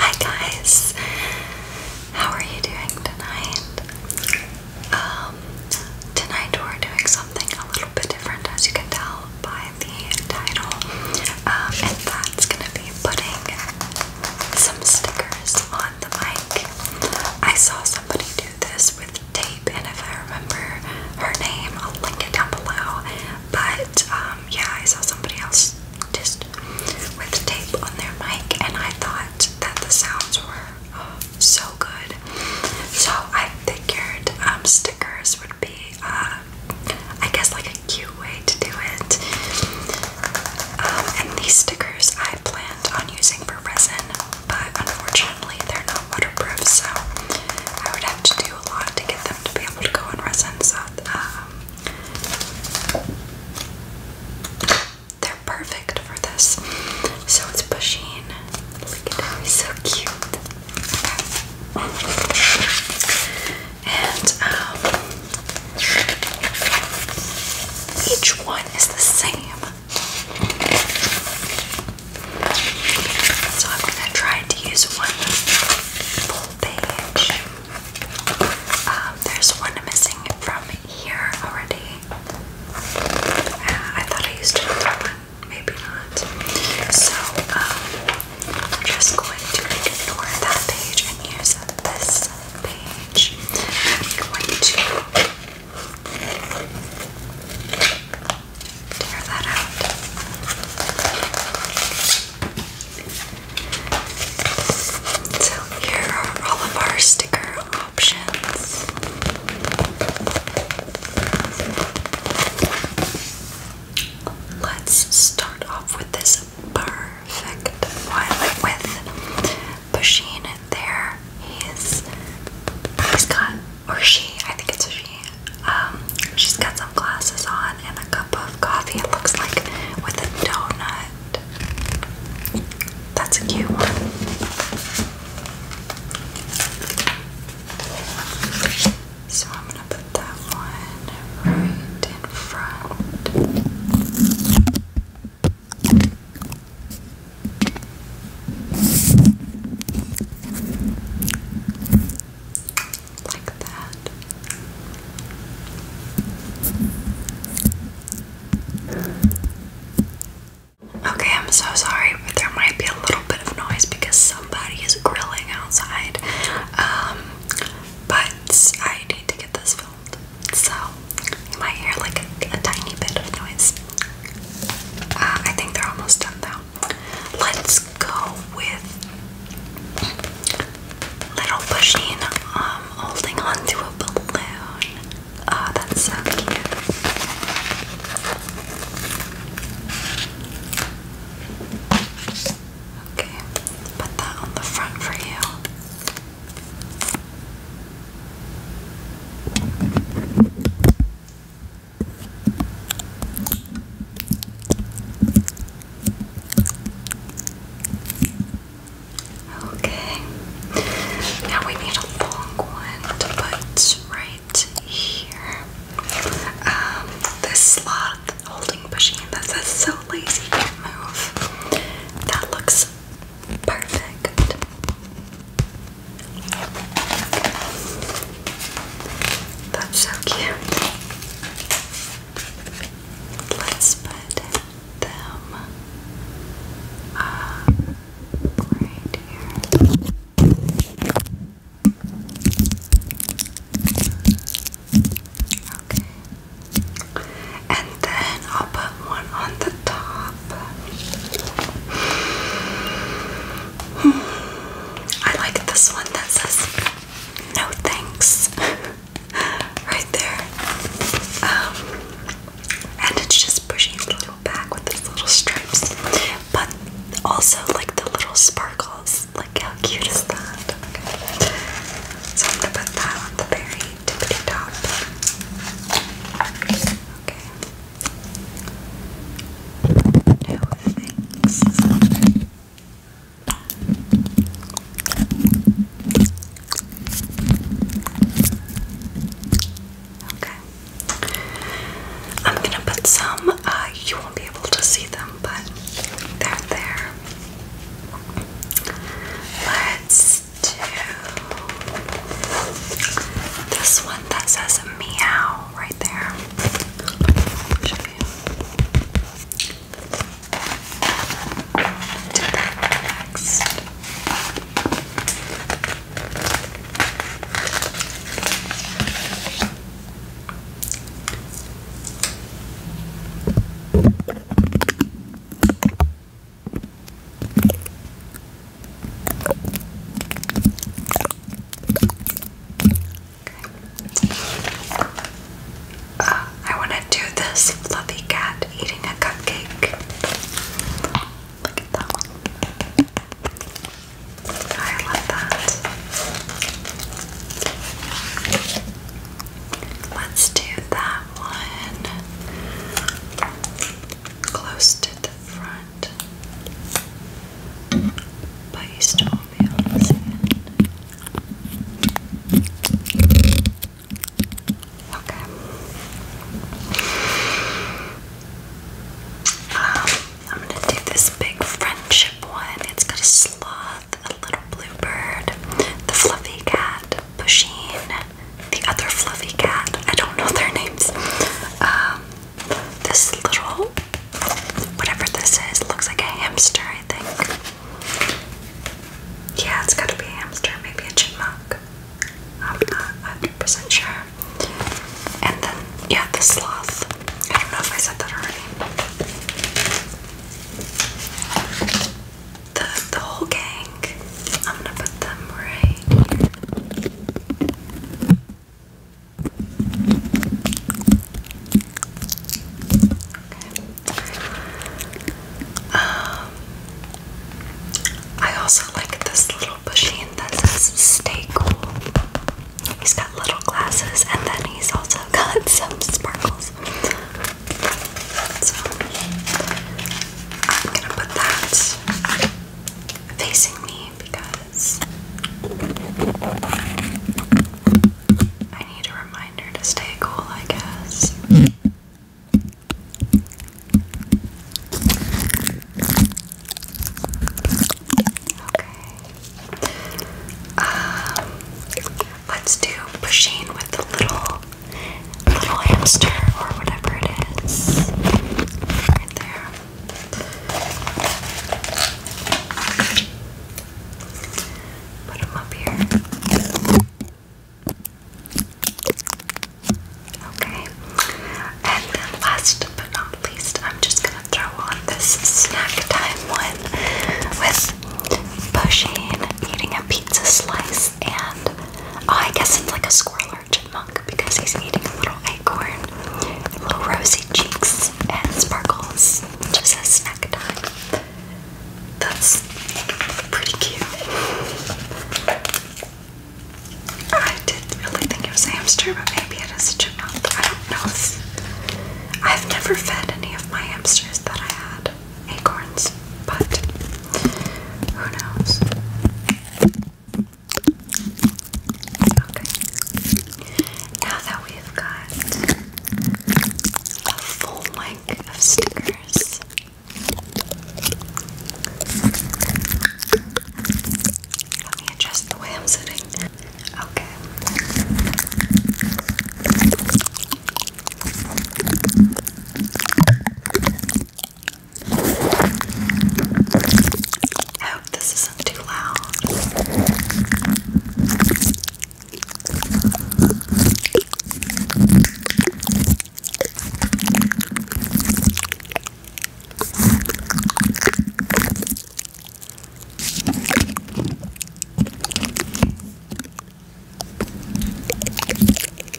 Hi guys, how are you doing tonight? Um, tonight we're doing something a little bit different, as you can tell by the title, um, and that's gonna be putting some stickers on the mic. I saw somebody do this with tape, and if I remember her name, I'll link it down below. But um, yeah, I saw somebody else just with tape on their mic, and I thought that the sounds were oh, so good. So I figured um, stickers would be, uh, I guess, like a cute way to do it. Um, and these stickers I planned on using for resin, but unfortunately they're not waterproof, so I would have to do a lot to get them to be able to go in resin. So um, they're perfect for this. So it's Pusheen. Look at how so cute. And um, each one is the same. So I'm gonna try to use one full page. Um, there's one missing from here already. Uh, I thought I used another one, maybe not. So um, I'm just going to ignore that page and use this page. I'm going to tear that out. So here are all of our sticker options. Let's start off with this perfect violet with Bashin there. He's he's got or she, I think it's a she, um, she's got some glasses on and a cup of coffee, it looks like, with a donut. That's a cute one. So I'm gonna put that one right in front. Okay, I'm so sorry, but there might be a little bit of noise because somebody is grilling outside. Um, but I need to get this filmed, so you might hear like a, tiny bit of noise. Uh, I think they're almost done though let's go with little Pusheen um, holding onto a balloon. Oh, that's so cute. Okay, put that on the front for you. Okay, now we need a long one to put right here. Um, this slot holding machine that says so lazy move. That looks perfect. That's so cute. Let's put them uh, right here. Okay. And then I'll put one on the top. I like this one that says no thanks right there. Um, and it's just pushing the little back with these little stripes. But also like the little sparkles. Like how cute is that? So I'm gonna put that on the very tippity top. Okay. No thanks. Okay. I'm gonna put some, uh, you won't be able to see them, but they're there. Let's do this one that says meow right there. show you. Do that next. Uh, I want to do this fluffy cat eating a cupcake. Look at that one. I love that. Let's do that one close to the front that. But you still won't Okay. Um, I'm gonna do this big friendship one. It's got a sloth, a little bluebird, the fluffy cat, Pusheen, the other fluffy cat. I don't know their names. Um, this little whatever this is looks like a hamster, I think. Yeah, it's gotta be a hamster, maybe a chipmunk. I'm not 100% sure. And then, yeah, the sloth. I don't know if I said that already. The, the whole gang. I'm gonna put them right. Um, I also like this little machine that says "Stay Cool." He's got little glasses, and then he's also got some sparkles. So I'm gonna put that facing me because I need a reminder to stay cool, I guess. Okay. Um, let's do pushing with the little little hamster or whatever it is there. Put them up here. Okay. And then last but not least, I'm just gonna throw on this snack time one with pushing, eating a pizza slice, and oh, I guess it's like a squirrel or chipmunk because he's eating a little acorn, little rosy cheeks, and sparkles. Just a snack time. That's pretty cute. I did really think it was a hamster, but maybe it is a chipmunk. I don't know. If, I've never fed any of my hamsters that I had acorns, but who knows? Okay. Now that we've got a full length of stickers, let me adjust the way I'm sitting. Okay. I hope this isn't too loud.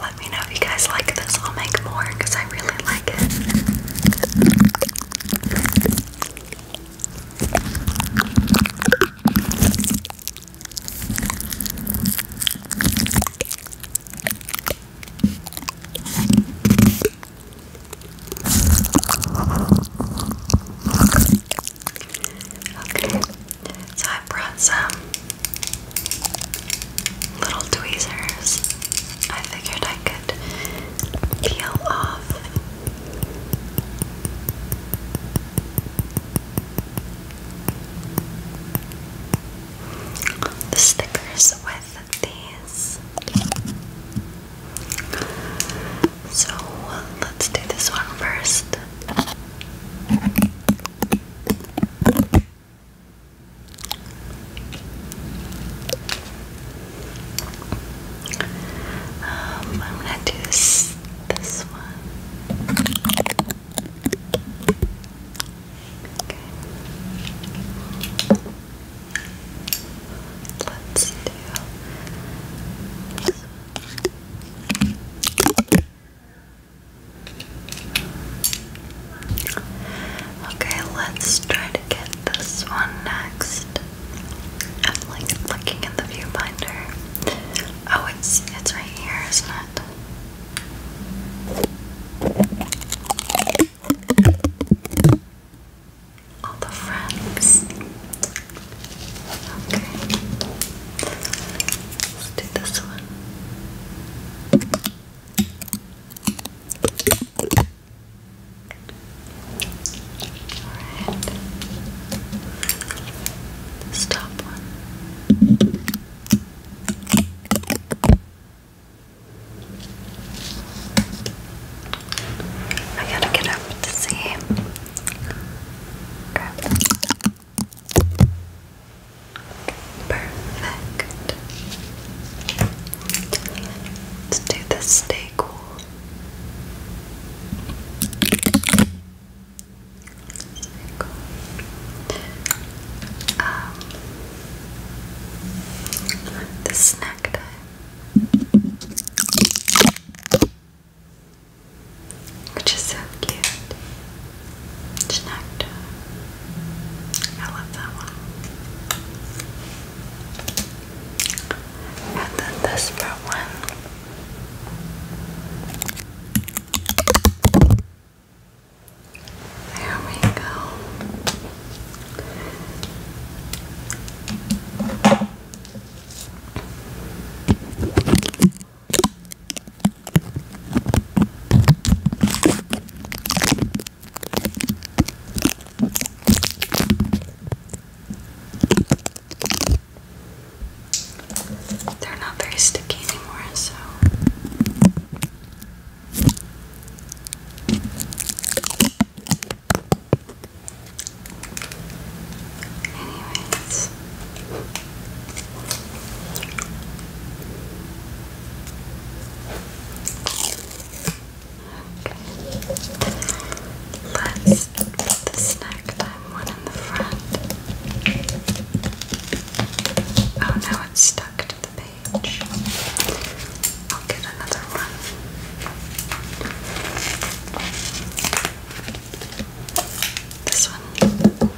Let me know if you guys like this. I'll make more because I really like it. Okay, so I brought some little tweezers, I figured I could peel off the stickers with these. So let's do this one first. Um, I'm gonna do this, this one. Okay. Let's do this one. Okay, let's try to get this one next. I'm like looking in the viewfinder. Oh, it's it's right here, isn't it? All the friends. Okay. Let's do this one. Alright. This I gotta get up to see. Perfect. Let's do the stay cool. the snack time which is so cute. Chinacta. I love that one. And then this part one. There we go. They're not very sticky anymore, so. Anyways, Let's put the snack time one in the front. Oh, now it's stuck to the page. I'll get another one. This one.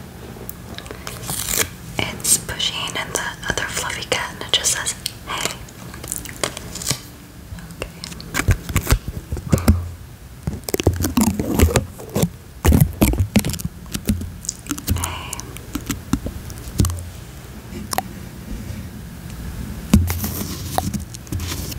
It's pushing, and the other fluffy cat, and it just says, Hey.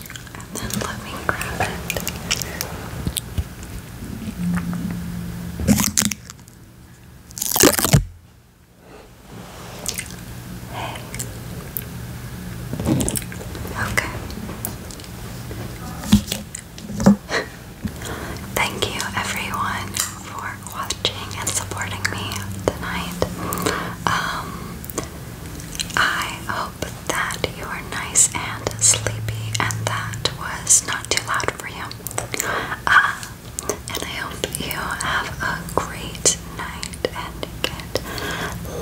And then let me grab it. Hey. Okay. Thank you everyone for watching and supporting me tonight. Um I but that you are nice and sleepy and that was not too loud for you. Uh, and I hope you have a great night and get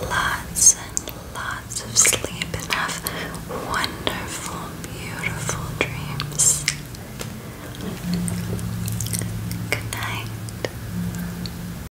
lots and lots of sleep and have wonderful, beautiful dreams. Good night.